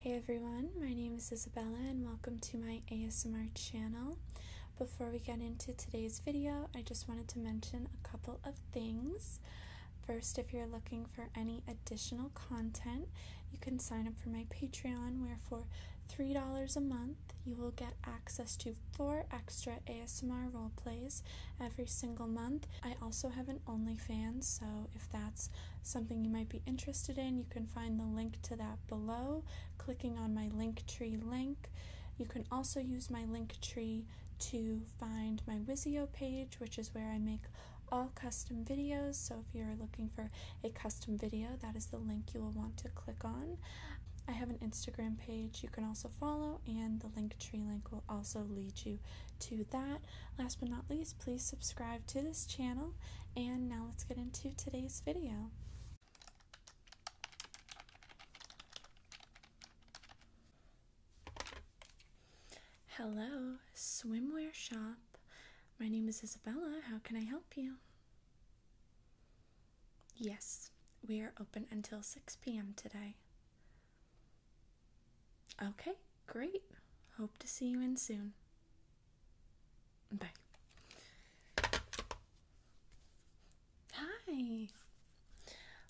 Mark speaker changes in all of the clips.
Speaker 1: Hey everyone, my name is Isabella and welcome to my ASMR channel. Before we get into today's video, I just wanted to mention a couple of things. First, if you're looking for any additional content, you can sign up for my Patreon where for $3 a month, you will get access to four extra ASMR role plays every single month. I also have an OnlyFans, so if that's something you might be interested in, you can find the link to that below, clicking on my Linktree link. You can also use my Linktree to find my Wizio page, which is where I make all custom videos. So if you're looking for a custom video, that is the link you will want to click on. I have an Instagram page you can also follow, and the Linktree link will also lead you to that. Last but not least, please subscribe to this channel. And now let's get into today's video. Hello, swimwear shop. My name is Isabella. How can I help you? Yes, we are open until 6 p.m. today. Okay, great. Hope to see you in soon. Bye. Hi.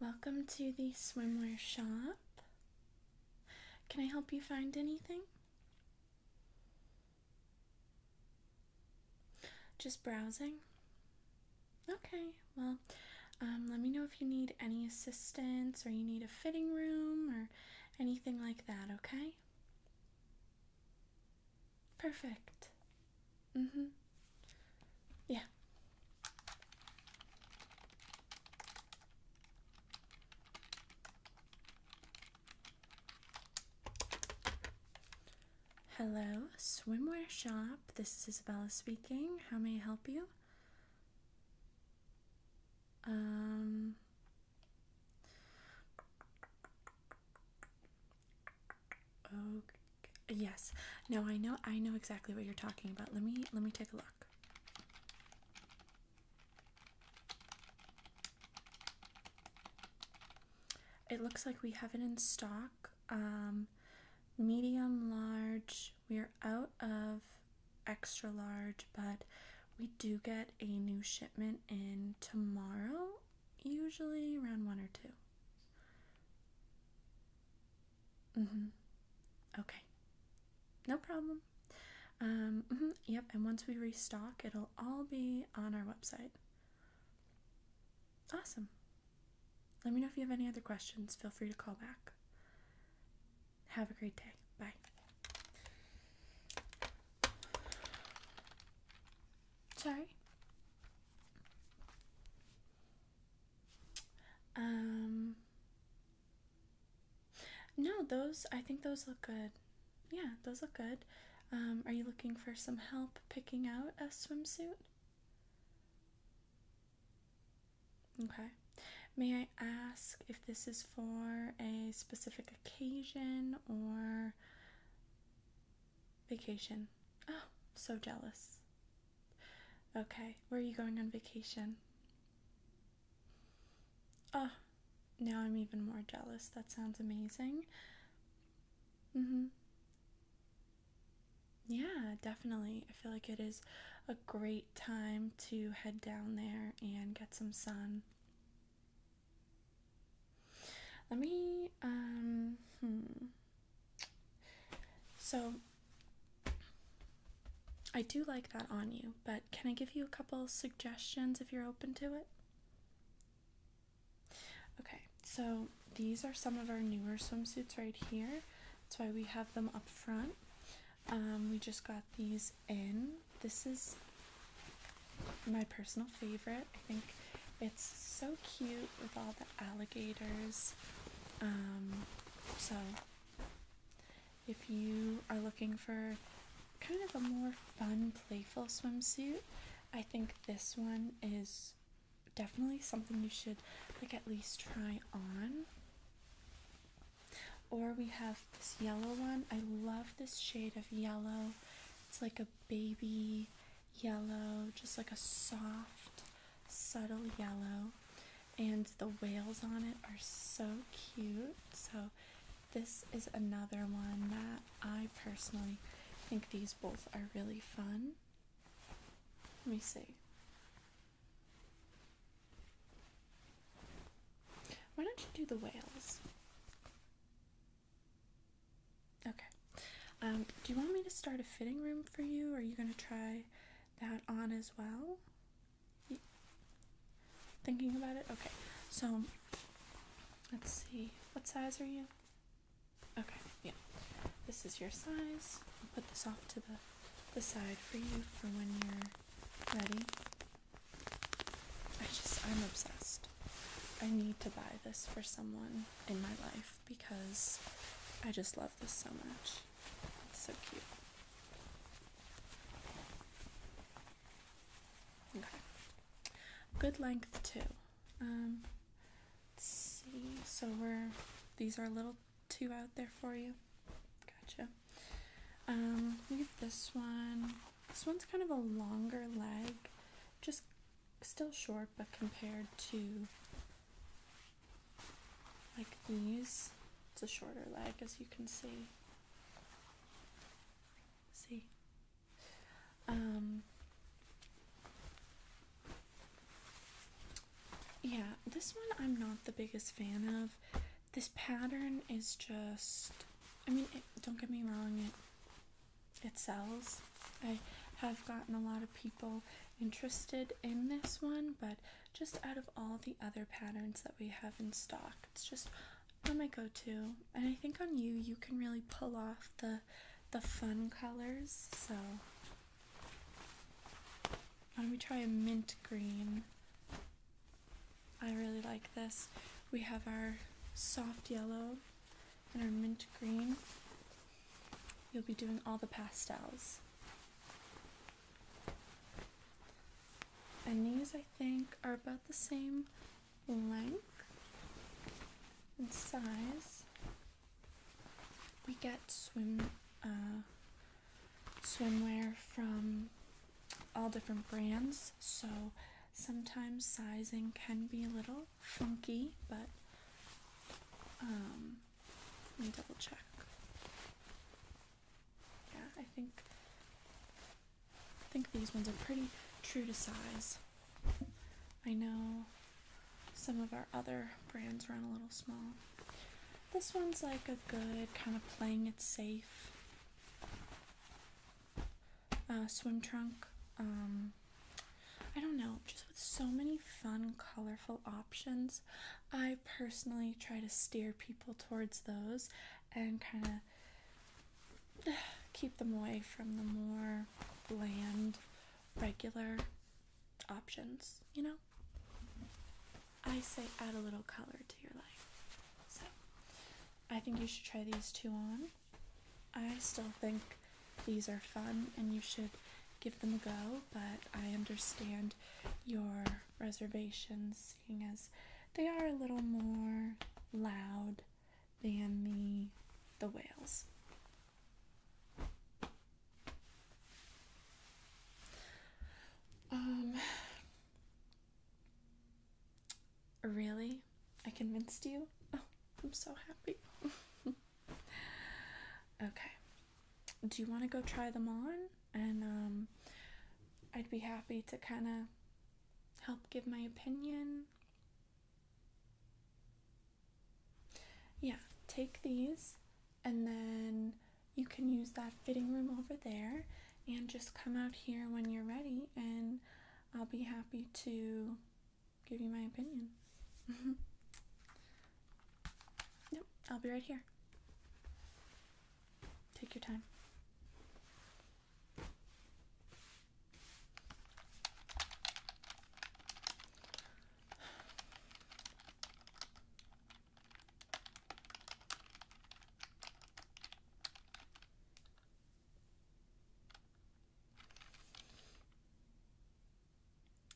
Speaker 1: Welcome to the swimwear shop. Can I help you find anything? Just browsing? Okay, well, um, let me know if you need any assistance or you need a fitting room or anything like that, okay? Perfect. Mm hmm. Yeah. Hello, swimwear shop. This is Isabella speaking. How may I help you? Um, okay. Yes. No, I know. I know exactly what you're talking about. Let me let me take a look. It looks like we have it in stock. Um, medium, large. We are out of extra large, but we do get a new shipment in tomorrow, usually around one or two. Mm-hmm. Okay. No problem. Um, mm-hmm, yep, and once we restock, it'll all be on our website. Awesome. Let me know if you have any other questions. Feel free to call back. Have a great day. Bye. Sorry. Um No, those I think those look good. Yeah, those look good. Um are you looking for some help picking out a swimsuit? Okay. May I ask if this is for a specific occasion or vacation? Oh, so jealous. Okay, where are you going on vacation? Oh, now I'm even more jealous. That sounds amazing. Mm hmm. Yeah, definitely. I feel like it is a great time to head down there and get some sun. Let me, um, hmm. So, I do like that on you, but can I give you a couple suggestions if you're open to it? Okay, so these are some of our newer swimsuits right here. That's why we have them up front. Um, we just got these in. This is my personal favorite. I think it's so cute with all the alligators. Um, so, if you are looking for kind of a more fun, playful swimsuit, I think this one is definitely something you should like at least try on. Or we have this yellow one. I love this shade of yellow. It's like a baby yellow, just like a soft, subtle yellow. And the whales on it are so cute. So, this is another one that I personally think these both are really fun. Let me see. Why don't you do the whales? Okay. Um, do you want me to start a fitting room for you? Or are you going to try that on as well? thinking about it? Okay. So, let's see. What size are you? Okay, yeah. This is your size. I'll put this off to the side for you for when you're Ready? I just, I'm obsessed. I need to buy this for someone in my life because I just love this so much. It's so cute. Okay. Good length too. Um, see. So we're these are little two out there for you. Gotcha. Um, look this one. This one's kind of a longer leg, just still short, but compared to like these, it's a shorter leg as you can see. See? Um, yeah, this one I'm not the biggest fan of. This pattern is just, I mean, don't get me wrong, it, it sells. I have gotten a lot of people interested in this one, but just out of all the other patterns that we have in stock, it's just on my go-to. And I think on you, you can really pull off the the fun colors. So why do we try a mint green? I really like this. We have our soft yellow and our mint green. You'll be doing all the pastels. And these, I think, are about the same length and size. We get swim uh, swimwear from all different brands, so sometimes sizing can be a little funky, but um, let me double check. Yeah, I think I think these ones are pretty true to size. I know some of our other brands run a little small. This one's like a good kind of playing it safe uh, swim trunk. Um, I don't know, just with so many fun, colorful options, I personally try to steer people towards those and kind of keep them away from the more bland, regular options, you know? I say add a little color to your life. So I think you should try these two on. I still think these are fun and you should give them a go, but I understand your reservations, seeing as they are a little more loud than me, the whales. Um, really? I convinced you? Oh, I'm so happy. okay. Do you want to go try them on? And, um, I'd be happy to kind of help give my opinion. Yeah, take these and then you can use that fitting room over there and just come out here when you're ready and I'll be happy to give you my opinion. yep, I'll be right here. Take your time.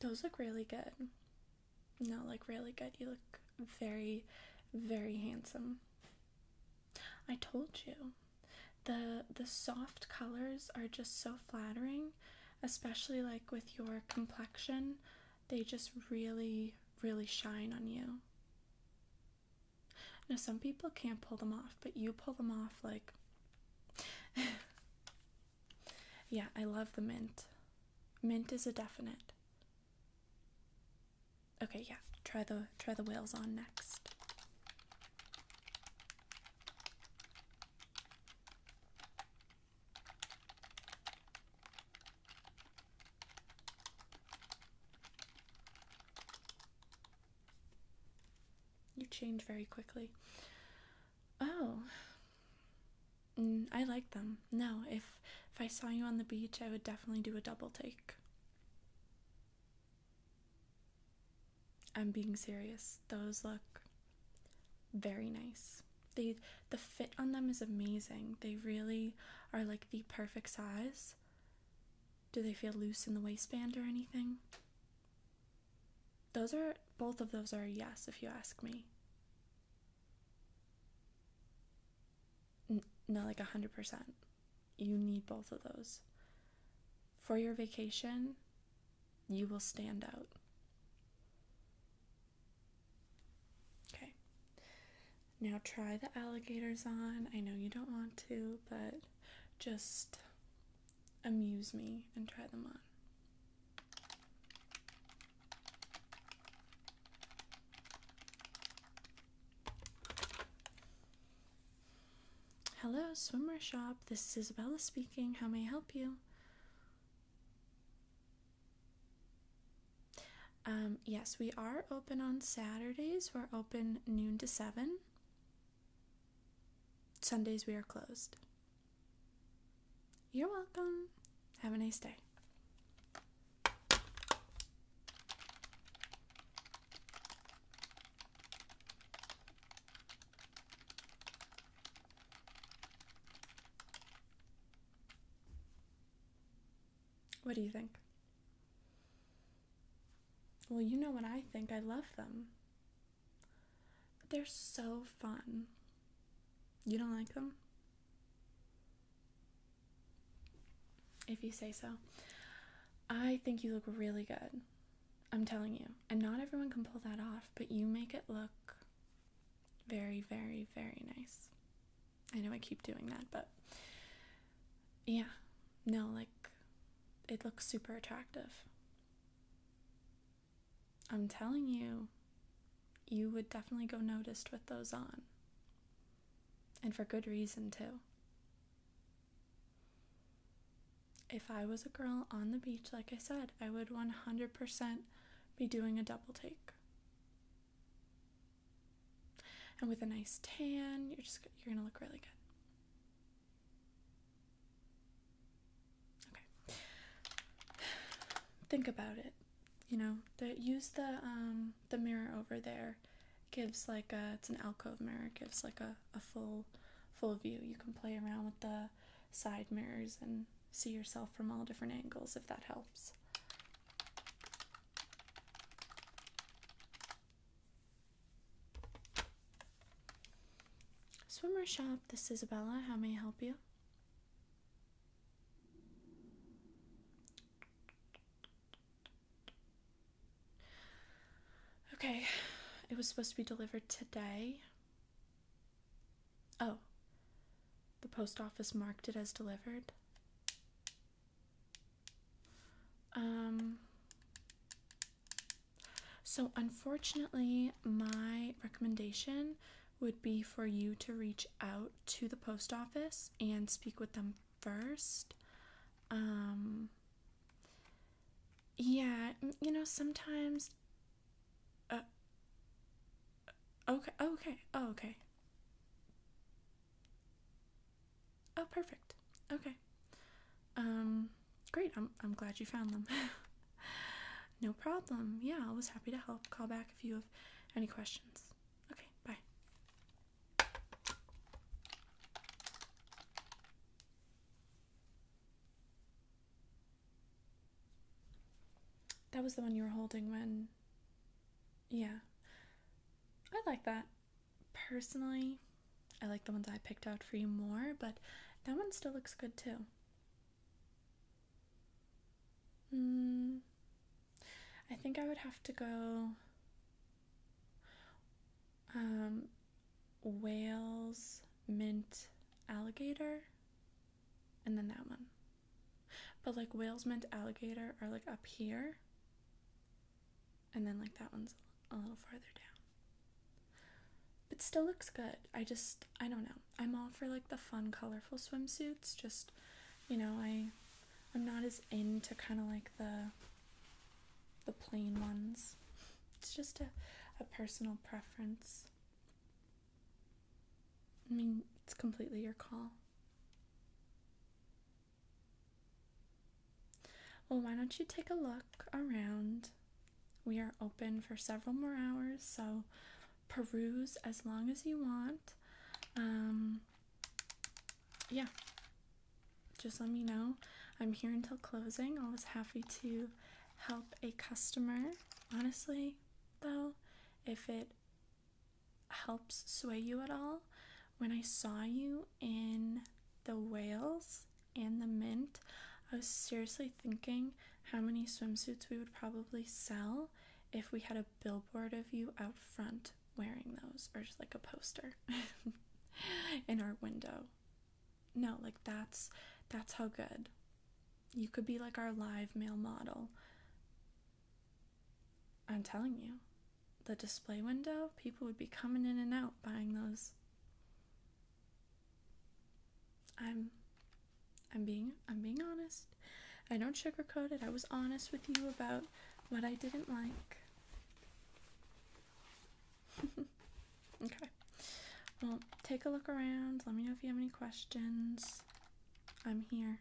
Speaker 1: Those look really good. No, like really good. You look very, very handsome. I told you. The the soft colors are just so flattering, especially like with your complexion they just really, really shine on you. Now, some people can't pull them off, but you pull them off like. yeah, I love the mint. Mint is a definite. Okay, yeah. Try the try the whales on next. You change very quickly. Oh. Mm, I like them. No, if if I saw you on the beach, I would definitely do a double take. I'm being serious. Those look very nice. They the fit on them is amazing. They really are like the perfect size. Do they feel loose in the waistband or anything? Those are both of those are yes if you ask me. Not no, like 100%. You need both of those. For your vacation, you will stand out. Okay. Now try the alligators on. I know you don't want to, but just amuse me and try them on. Hello, swimmer shop. This is Isabella speaking. How may I help you? Um, yes, we are open on Saturdays. We're open noon to 7. Sundays, we are closed. You're welcome. Have a nice day. What do you think? Well, you know what I think. I love them. They're so fun. You don't like them? If you say so. I think you look really good. I'm telling you. And not everyone can pull that off, but you make it look very, very, very nice. I know I keep doing that, but yeah, no, like it looks super attractive. I'm telling you, you would definitely go noticed with those on. And for good reason, too. If I was a girl on the beach, like I said, I would 100% be doing a double take. And with a nice tan, you're just you're going to look really good. Okay. Think about it. You know, use the um the mirror over there gives like a it's an alcove mirror, gives like a a full full view. You can play around with the side mirrors and see yourself from all different angles if that helps. Swimmer shop, this is Isabella. How may I help you? Okay, it was supposed to be delivered today. Oh, the post office marked it as delivered. Um, so, unfortunately, my recommendation would be for you to reach out to the post office and speak with them first. Um, yeah, you know, sometimes uh, okay, oh, okay, oh, okay. Oh, perfect. Okay. Um, great. I'm, I'm glad you found them. no problem. Yeah, I was happy to help. Call back if you have any questions. Okay, bye. That was the one you were holding when. Yeah. I like that. Personally, I like the ones I picked out for you more, but that one still looks good too. Mm, I think I would have to go. Um, whales, mint, alligator, and then that one. But like whales, mint, alligator are like up here, and then like that one's a little farther down. But still looks good. I just, I don't know. I'm all for like the fun, colorful swimsuits. Just, you know, I, I'm not as into kind of like the, the plain ones. It's just a, a personal preference. I mean, it's completely your call. Well, why don't you take a look around? We are open for several more hours, so peruse as long as you want. Um, yeah, just let me know. I'm here until closing. Always happy to help a customer. Honestly, though, if it helps sway you at all, when I saw you in the whales and the mint, I was seriously thinking how many swimsuits we would probably sell if we had a billboard of you out front wearing those, or just like a poster in our window no like that's that's how good you could be like our live male model i'm telling you the display window people would be coming in and out buying those i'm i'm being i'm being honest i don't sugarcoat it i was honest with you about what i didn't like okay. Well, take a look around. Let me know if you have any questions. I'm here.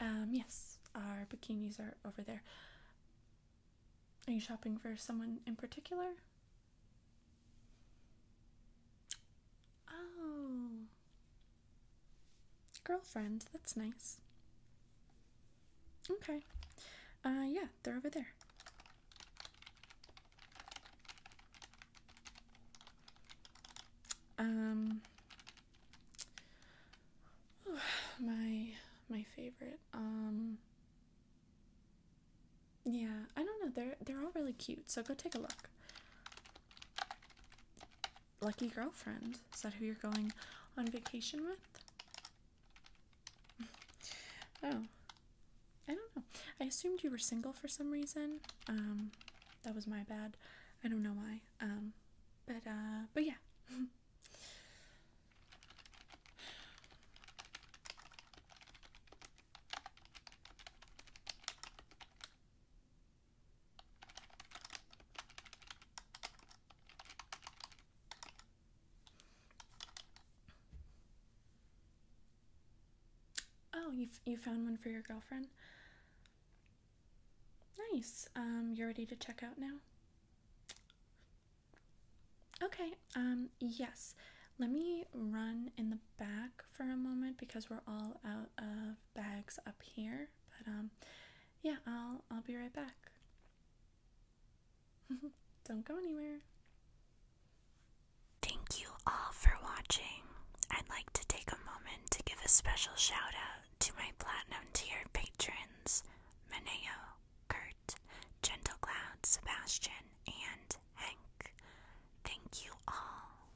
Speaker 1: Um, yes, our bikinis are over there. Are you shopping for someone in particular? Oh, Girlfriend, that's nice. Okay. Uh, yeah, they're over there. Um, my my favorite. Um, yeah, I don't know. They're they're all really cute. So go take a look. Lucky girlfriend. Is that who you're going on vacation with? oh. I don't know. I assumed you were single for some reason. Um that was my bad. I don't know why. Um but uh but yeah. Oh, you, you found one for your girlfriend? Nice. Um, you're ready to check out now? Okay, um, yes. Let me run in the back for a moment because we're all out of bags up here, but um yeah, I'll I'll be right back. Don't go anywhere. Thank you all for watching. I'd like to take a moment to give a special shout out to my platinum tier patrons, Maneo, Kurt, Gentle Cloud, Sebastian, and Hank. Thank you all.